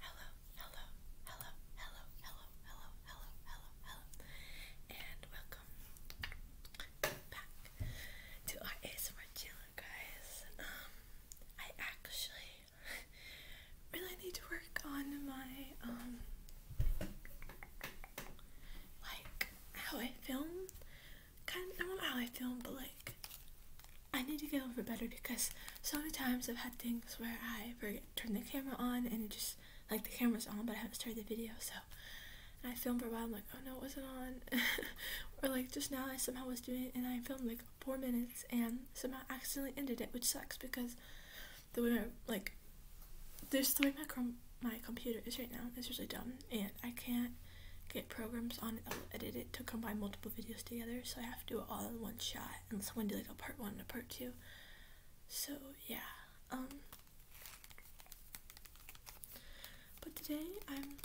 Hello, hello, hello, hello, hello, hello, hello, hello, hello, and welcome back to our ASMR channel, guys. Um, I actually really need to work on my, um, like, how I film. Kind of, I don't know how I film, but like, I need to get over better because so many times I've had things where I forget turn the camera on and it just like the camera's on but I haven't started the video so I filmed for a while I'm like oh no it wasn't on or like just now I somehow was doing it and I filmed like four minutes and somehow accidentally ended it which sucks because the way my like there's the way my com my computer is right now is really dumb and I can't get programs on I'll um, edit it to combine multiple videos together, so I have to do it all in one shot, And someone did like a part one and a part two. So yeah, um, but today I'm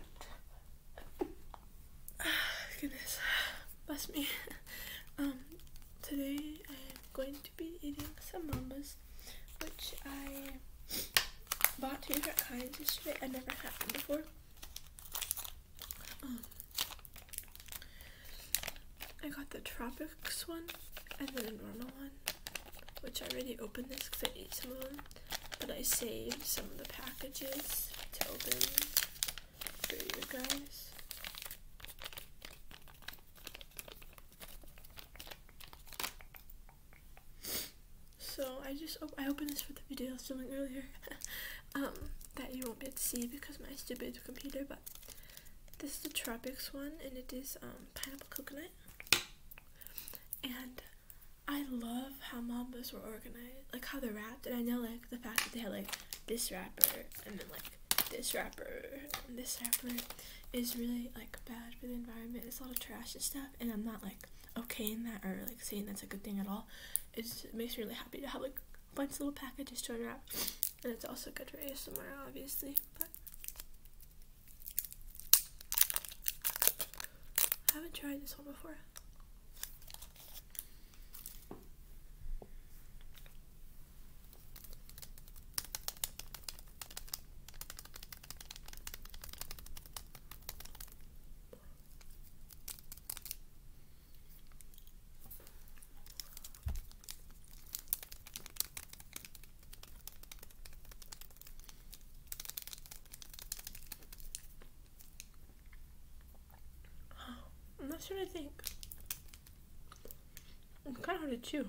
goodness, bless me. um, today I'm going be eating some mamas, which I bought two different kinds yesterday. I never had them before. Um, I got the tropics one and then the normal one, which I already opened this because I ate some of them, but I saved some of the packages to open for you guys. So I just I opened this for the video I was filming earlier, um, that you won't be able to see because my stupid computer. But this is the tropics one, and it is um, pineapple coconut. And I love how mambas were organized, like how they're wrapped. And I know like the fact that they had like this wrapper and then like this wrapper, this wrapper, is really like bad for the environment it's a lot of trash and stuff and i'm not like okay in that or like saying that's a good thing at all it just makes me really happy to have like a bunch of little packages to unwrap and it's also good for asmr obviously but i haven't tried this one before I'm not sure I think it's kind of hard to chew.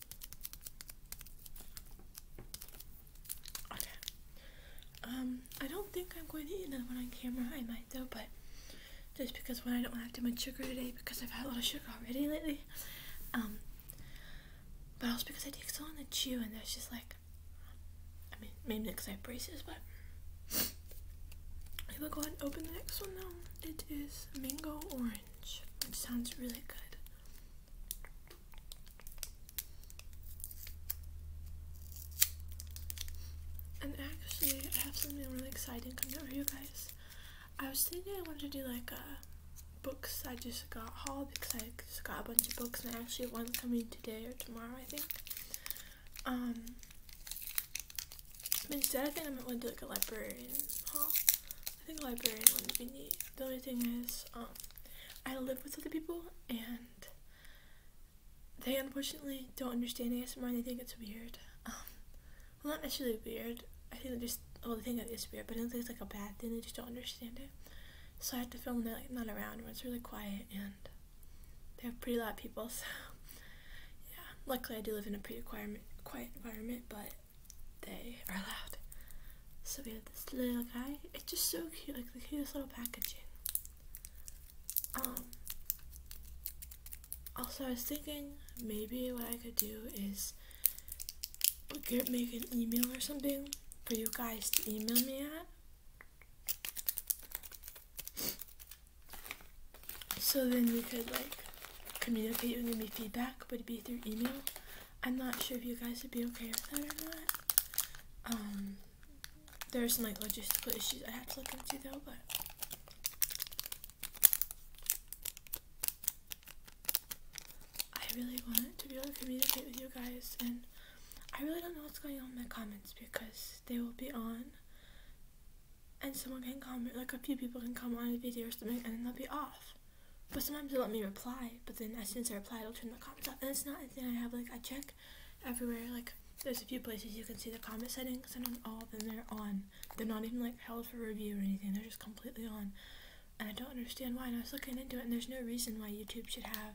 Okay. Um, I don't think I'm going to eat another one on camera. I might though, but just because when I don't have too much sugar today because I've had a lot of sugar already lately. Um, but also because I take so long to chew and that's just like, I mean, maybe because I have braces, but we will go ahead and open the next one now. It is mango orange, which sounds really good. And actually, I have something really exciting coming for you guys. I was thinking I wanted to do like a uh, books I just got haul because I just got a bunch of books and I actually have one coming today or tomorrow, I think. Um, instead, I think I'm going to do like a librarian haul. I think librarian would be neat. The only thing is, um, I live with other people and they unfortunately don't understand ASMR and they think it's weird. Um, well, not necessarily weird. I think they just, well, they think it is weird, but I don't think it's like a bad thing. They just don't understand it. So I have to film when like, not around, when it's really quiet and they have pretty loud people, so yeah. Luckily, I do live in a pretty quiet, quiet environment, but they are loud. So we have this little guy. It's just so cute, like the cutest little packaging. Um, also, I was thinking maybe what I could do is get make an email or something for you guys to email me at. So then we could like communicate and give me feedback, Would it be through email. I'm not sure if you guys would be okay with that or not. Um, there are some like logistical issues I have to look into though, but. I really want to be able to communicate with you guys, and I really don't know what's going on in my comments because they will be on, and someone can comment, like a few people can come on a video or something, and then they'll be off. But sometimes they'll let me reply, but then as soon as I reply, it'll turn the comments off. And it's not a I have, like, I check everywhere. Like, there's a few places you can see the comment settings, and on all of they're on. They're not even, like, held for review or anything. They're just completely on. And I don't understand why. And I was looking into it, and there's no reason why YouTube should have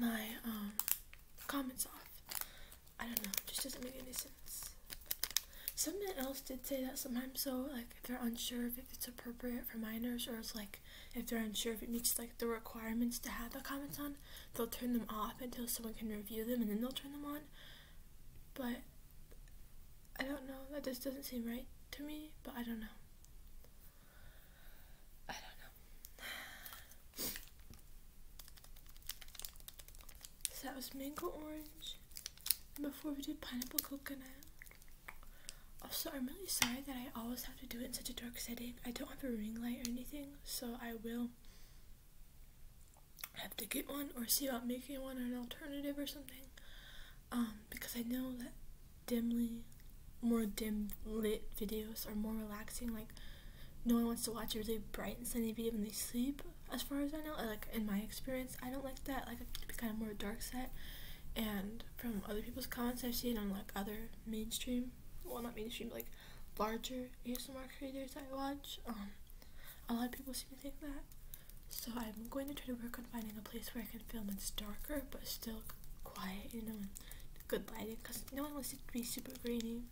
my um, comments off. I don't know. It just doesn't make any sense sense. Someone else did say that sometimes, so like if they're unsure if it's appropriate for minors, or it's like if they're unsure if it meets like the requirements to have the comments on, they'll turn them off until someone can review them, and then they'll turn them on. But I don't know. That just doesn't seem right to me. But I don't know. I don't know. that was mango orange. And before we do pineapple coconut. Also, I'm really sorry that I always have to do it in such a dark setting. I don't have a ring light or anything, so I will have to get one or see about making one or an alternative or something. Um, because I know that dimly, more dim lit videos are more relaxing. Like, no one wants to watch a really bright and sunny video when they sleep as far as I know. Like in my experience, I don't like that. Like to be kind of more dark set. And from other people's comments I've seen on like other mainstream, well not mainstream, like larger ASMR creators I watch, um, a lot of people seem to think that. So I'm going to try to work on finding a place where I can film It's darker but still quiet, you know, and good lighting, because no one wants it to be super grainy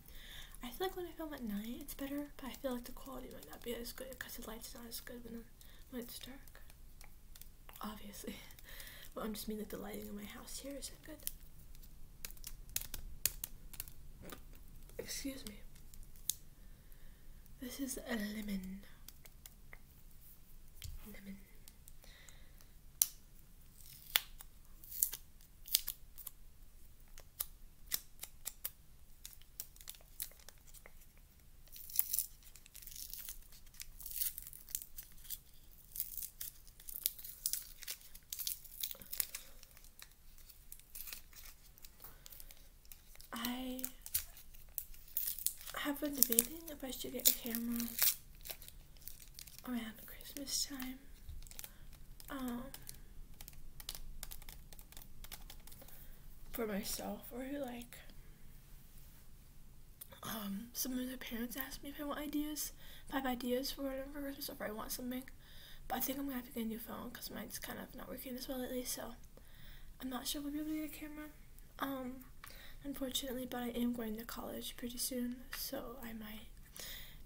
I feel like when I film at night, it's better, but I feel like the quality might not be as good because the light's not as good when, when it's dark. Obviously. but I'm just mean that the lighting in my house here isn't good. Excuse me. This is a lemon. Lemon. I have been debating if I should get a camera around Christmas time um, for myself or like um, some of the parents ask me if I want ideas, if I have ideas for whatever for Christmas or if I want something. But I think I'm gonna have to get a new phone because mine's kind of not working as well lately, so I'm not sure if we will be able to get a camera. Um, unfortunately, but I am going to college pretty soon, so I might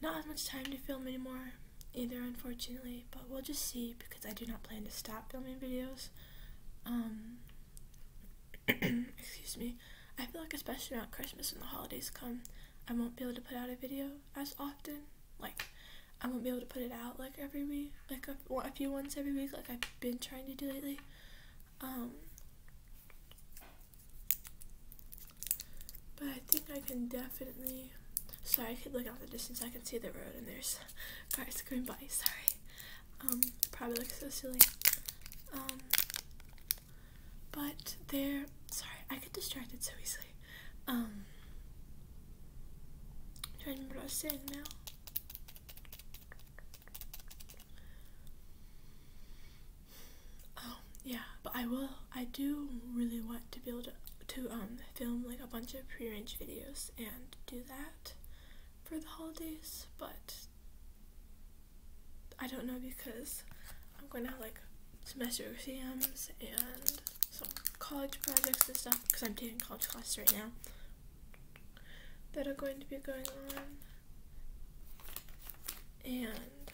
not as much time to film anymore either, unfortunately, but we'll just see because I do not plan to stop filming videos. Um, excuse me. I feel like especially around Christmas when the holidays come, I won't be able to put out a video as often. Like, I won't be able to put it out like every week, like a, a few ones every week, like I've been trying to do lately. Um, but I think I can definitely. Sorry, I could look out the distance. I can see the road, and there's cars going by. Sorry. Um, probably looks so silly. Um, but there. Sorry, I get distracted so easily. Um, I'm trying to remember what I was saying now. Oh, yeah, but I will. I do really want to be able to to um film like a bunch of pre-range videos and do that for the holidays, but I don't know because I'm going to have like semester exams and some college projects and stuff because I'm taking college classes right now that are going to be going on. And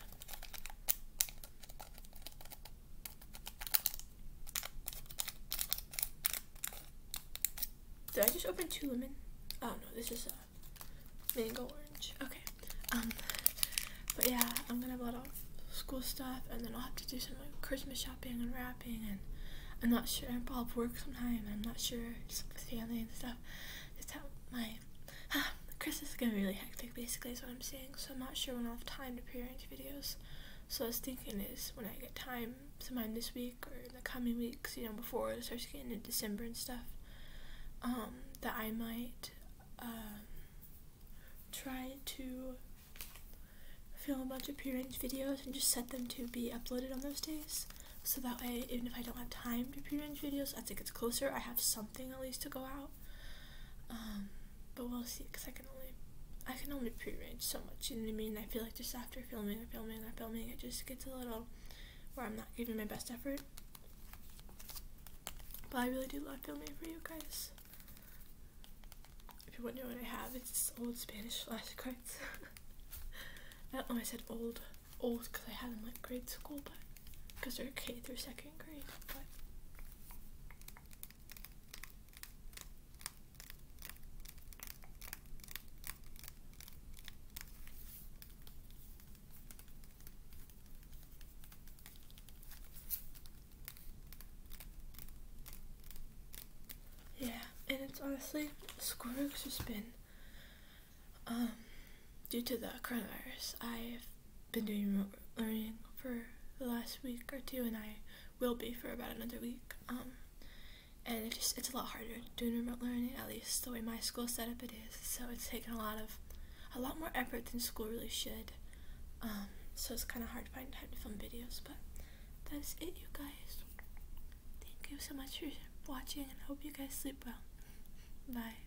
did I just open two lemon? Oh no, this is a mango orange. Okay. Um, but yeah, I'm gonna have a lot of school stuff, and then I'll have to do some Christmas shopping and wrapping, and I'm not sure. I'll have work sometime. I'm not sure, with family and stuff. Just how my Chris is gonna be really hectic basically is what I'm saying, so I'm not sure when I'll have time to pre-arrange videos. So I was thinking is when I get time, sometime this week or in the coming weeks, you know, before it starts getting into December and stuff, um, that I might um, try to film a bunch of pre-arranged videos and just set them to be uploaded on those days. So that way, even if I don't have time to pre-arrange videos, as it gets closer, I have something at least to go out. Um, but we'll see, cause I can only, I can only prearrange so much. You know what I mean? I feel like just after filming and filming and filming, it just gets a little where I'm not giving my best effort. But I really do love filming for you guys. If you wonder what I have, it's old Spanish flashcards. I don't know, I said old, old because I had them like grade school, but because they're K through second grade. But yeah, and it's honestly Squirrel's just been um due to the coronavirus, I've been doing remote learning for the last week or two, and I will be for about another week. Um, and it just it's a lot harder doing remote learning, at least the way my school set up it is. So it's taken a lot of a lot more effort than school really should. Um, so it's kind of hard to find time to film videos, but that's it, you guys. Thank you so much for watching, and hope you guys sleep well. Bye.